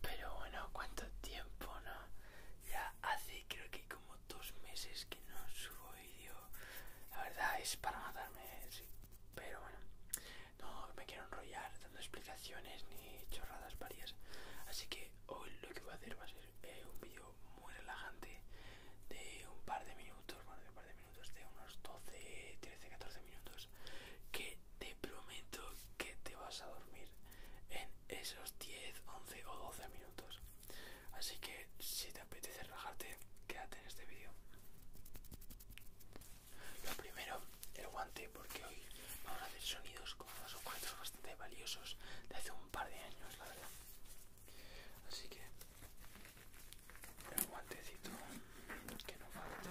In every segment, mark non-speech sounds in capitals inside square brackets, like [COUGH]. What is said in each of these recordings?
Pero bueno, cuánto tiempo, ¿no? Ya hace creo que como dos meses que no subo vídeo. La verdad es para matarme, sí. Pero bueno, no me quiero enrollar dando explicaciones ni chorradas varias. Así que hoy lo que voy a hacer va a ser eh, un vídeo muy relajante de un par de minutos, bueno, de par de minutos, de unos 12, 13, 14 minutos que te prometo que te vas a dormir en esos 10, 11 o 12 minutos. Así que si te apetece relajarte, quédate en este vídeo. Lo primero, el guante, porque hoy vamos a hacer sonidos con unos objetos bastante valiosos de hace un par de años, la verdad. Así que el guantecito que no falta.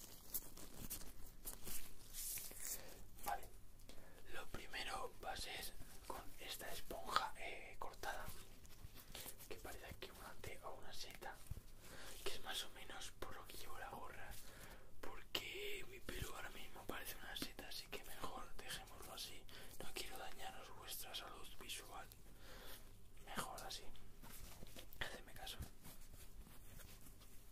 Vale, lo primero va a ser con esta esponja eh, cortada, que parece aquí una T o una seta, que es más o menos por lo que llevo la gorra, porque mi pelo ahora mismo parece una seta, así que mejor dejémoslo así, no quiero dañaros vuestra salud visual, mejor así, hacedme caso.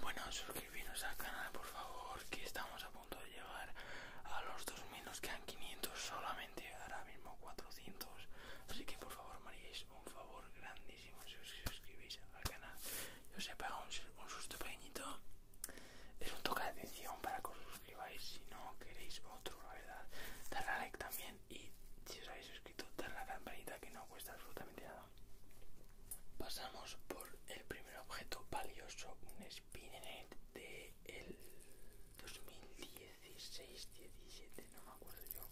Bueno, suscribiros al canal por favor, que estamos a punto de llegar a los 2000, nos quedan 500 solamente, ahora mismo 400, así que por favor María un favor grandísimo si os suscribís al canal. Yo os he pagado un, susto pequeñito. Es un toque de atención para que os suscribáis. Si no queréis otro, la verdad, darle like también. Y si os habéis suscrito, darle la campanita que no cuesta absolutamente nada. Pasamos por el primer objeto valioso, un Spinet de el 2016-17, no me acuerdo yo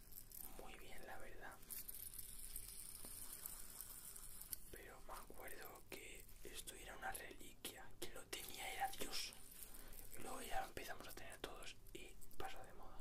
muy bien la verdad pero me acuerdo que esto era una reliquia que lo tenía era Dios y luego ya empezamos a tener todos y pasó de moda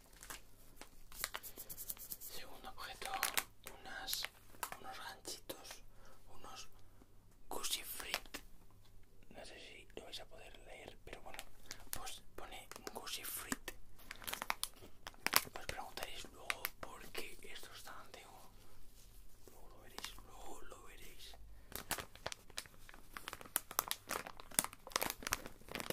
Segundo objeto, unas, unos ganchitos, unos Gucci Frit. No sé si lo vais a poder leer, pero bueno, pues pone goosey Frit. Os preguntaréis luego por qué esto es tan antiguo. Luego lo veréis, luego lo veréis.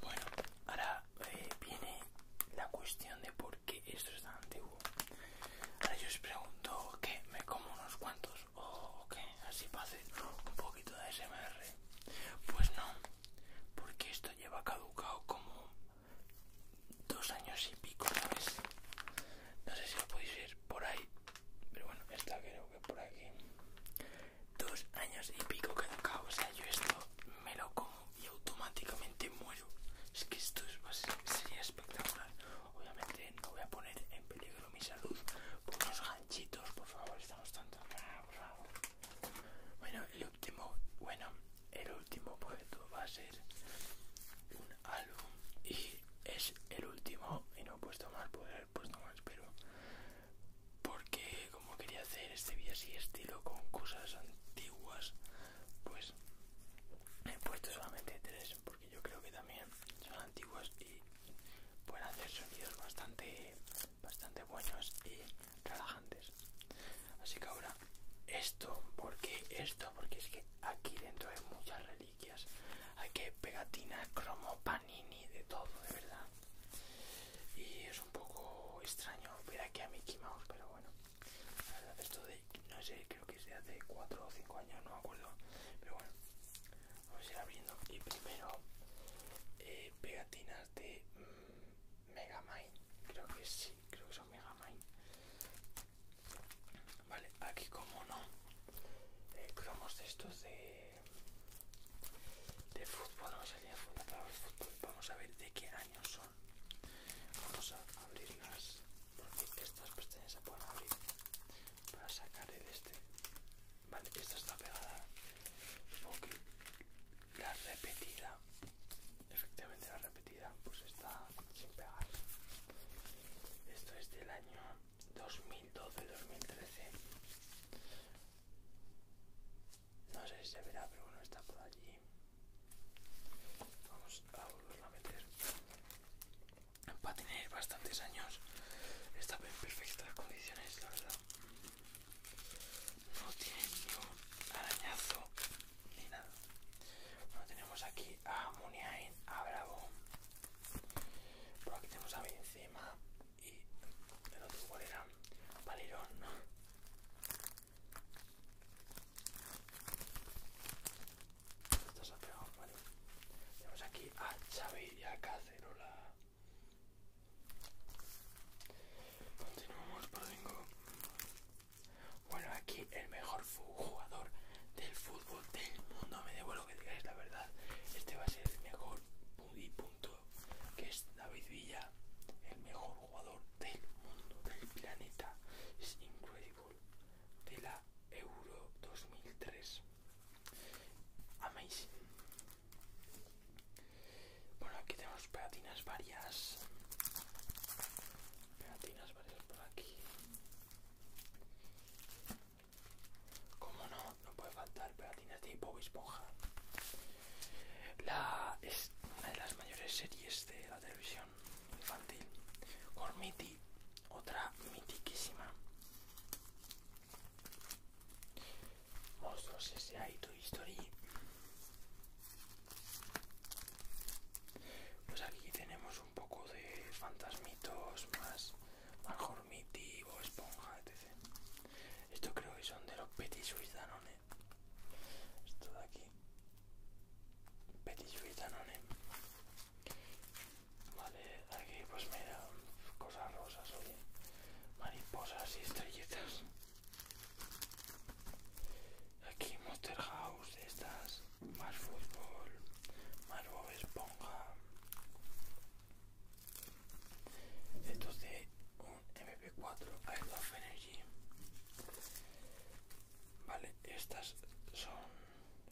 Bueno, ahora eh, viene la cuestión de por qué esto es tan antiguo. Ahora yo os pregunto ¿qué? me como unos cuantos o qué, así para hacer un poquito de SMR. Pues no, porque esto lleva caducado como dos años y pico, ¿sabes? no sé si lo podéis ver por ahí pero bueno está creo que por aquí dos años y pico que que o sea yo esto me lo como y automáticamente muero es que esto es, sería espectacular obviamente no voy a poner en peligro mi salud por unos ganchitos por favor estamos tanto ah, por favor bueno el último bueno el último puesto va a ser álbum y es el último y no he puesto más, poder, haber puesto más, pero porque como quería hacer este video así estilo con cosas antiguas, pues he puesto solamente tres porque yo creo que también son antiguas y pueden hacer sonidos bastante, bastante buenos y relajantes. Así que ahora esto, porque esto, porque es que aquí dentro hay mucha reliquias hay que pegatinas, cromo, panini, de todo, de verdad. Y es un poco extraño ver aquí a Mickey Mouse, pero bueno. esto de, no sé, creo que es de hace 4 o 5 años, no me acuerdo. Pero bueno, vamos a ir abriendo. Y primero, eh, pegatinas de mm, mega Megamind. Creo que sí, creo que son mega Megamind. Vale, aquí como no, eh, estos de, de fútbol, no sería fútbol, vamos a ver de qué año son. Vamos a abrirlas, porque estas pestañas se pueden abrir para sacar el este. Vale, esta está pegada, porque la repetida, efectivamente la repetida, pues está sin pegar. Esto es del año 2012-2013. No sé si se verá, pero bueno, está por allí. Vamos a volver a meter. Va tener bastantes años. Está en perfectas condiciones, la verdad. No tiene ni un arañazo ni nada. Bueno, tenemos aquí a Muniain, a Bravo, por aquí tenemos a Benzema y el otro igual era Valerón. Esto se vale. Tenemos aquí a Xavi y a Cacerola. Continuamos por tengo. Bueno, aquí el mejor jugador del fútbol del mundo. Me debo lo que digáis, la verdad. Este va a ser el mejor y punto. Que es David Villa, el mejor jugador del mundo, del planeta. Es incredible. De la Euro 2003. Amazing. Bueno, aquí tenemos pegatinas varias. Pegatinas varias por aquí. Como no, no puede faltar pegatinas tipo tipo Esponja. La, es una de las mayores series de la televisión infantil. Gormiti, otra mitiquísima. Monstruos S.A. y Toy Story. Pues aquí tenemos un poco de fantasmitos más, más formitivo, esponja, etc. Esto creo que son de los Petit Suisse Esto de aquí. Petit Suisse Danone. Vale, aquí pues mira, cosas rosas, oye. Mariposas y estrellitas. Aquí Monster House, estas, más fútbol, más Bob Esponja, esto es de un MP4 I love Energy. Vale, estas son,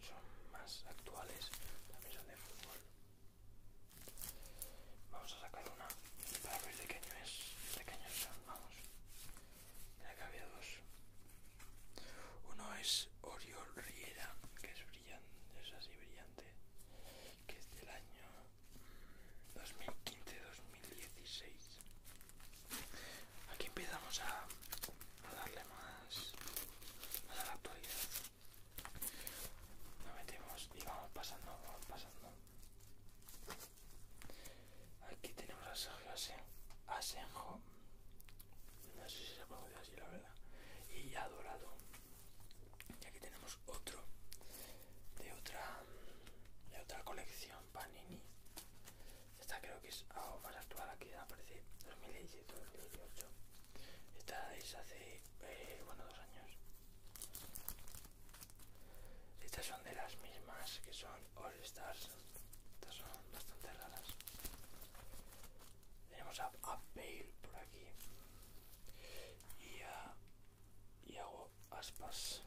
son más actuales, también son de fútbol. Vamos a sacar una para ver de qué año es, de son, vamos. Mira que había dos. Uno es Oriol Riera, que es brillante, es así brillante, que es del año 2015-2016. Aquí empezamos a, darle más, a la actualidad. nos metemos y vamos pasando, vamos pasando. Aquí tenemos a Sergio Asenjo. No sé si se pronuncia así, la verdad. Y Dorado Y aquí tenemos otro de otra de otra colección Panini. Esta creo que es algo más actual, aquí aparece 2017-2018. Esta es hace, eh, bueno, dos años. Estas son de las mismas que son All Stars. Estas son bastante raras. Tenemos a, Bale por aquí. Y a. Y aspas.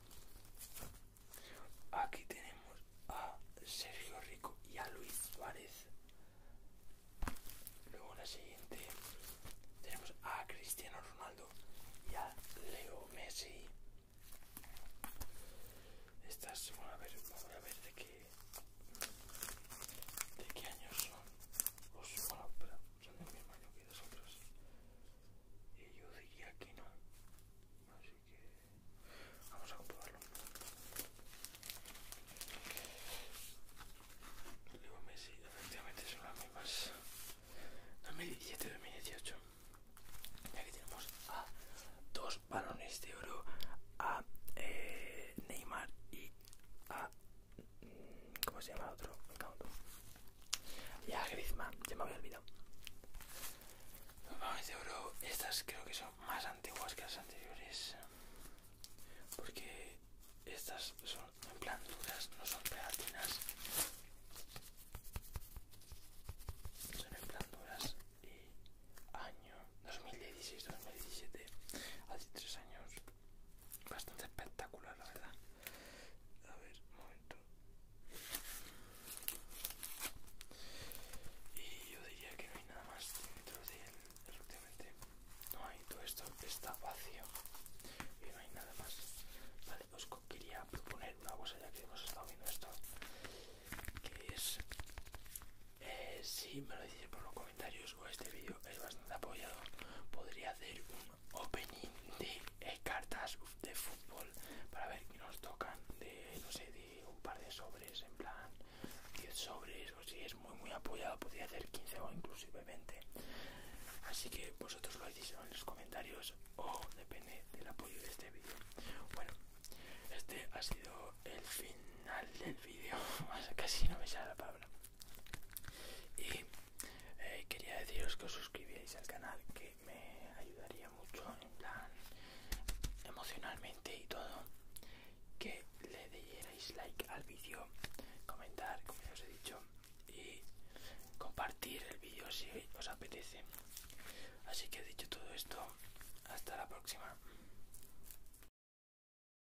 Aquí tenemos a Sergio Rico y a Luis Suárez. Luego la siguiente tenemos a Cristiano Ronaldo y a Leo Messi. Estas, vamos a ver, vamos a ver de qué de qué años son los pues, bueno pero son del mismo año que nosotros y yo diría que no así que vamos a comprobarlo Leo Messi efectivamente son las mismas 2017 2018 y aquí tenemos a dos balones de oro a eh, Neymar y a ¿Cómo se llama el otro? Ya, Griezmann, ya me había olvidado. estas creo que son más antiguas que las anteriores. Porque estas son en plan duras, no son pegatinas. Son en plan duras y año 2016-2017, hace tres años bastante espectacular, la verdad. A ver, un momento. Y yo diría que no hay nada más dentro de él, efectivamente. No hay, todo esto está vacío y no hay nada más. Vale, os quería proponer una cosa ya que hemos estado viendo esto, que es eh, si me lo decís por los comentarios o este vídeo es bastante apoyado, podría hacer un opening de cartas de fútbol para ver qué nos tocan de, no sé, de un par de sobres, en plan 10 sobres, o si es muy muy apoyado, podría hacer 15 o inclusive 20. Así que vosotros lo decís en los comentarios o depende del apoyo de este vídeo. Bueno, este ha sido el final del vídeo, [LAUGHS] casi no me sale la palabra. Y eh, quería deciros que os suscribíais al canal, que me ayudaría mucho en plan emocionalmente y todo. Que le dierais like al vídeo, comentar, como ya os he dicho, y compartir el vídeo si os apetece. Así que dicho todo esto, hasta la próxima.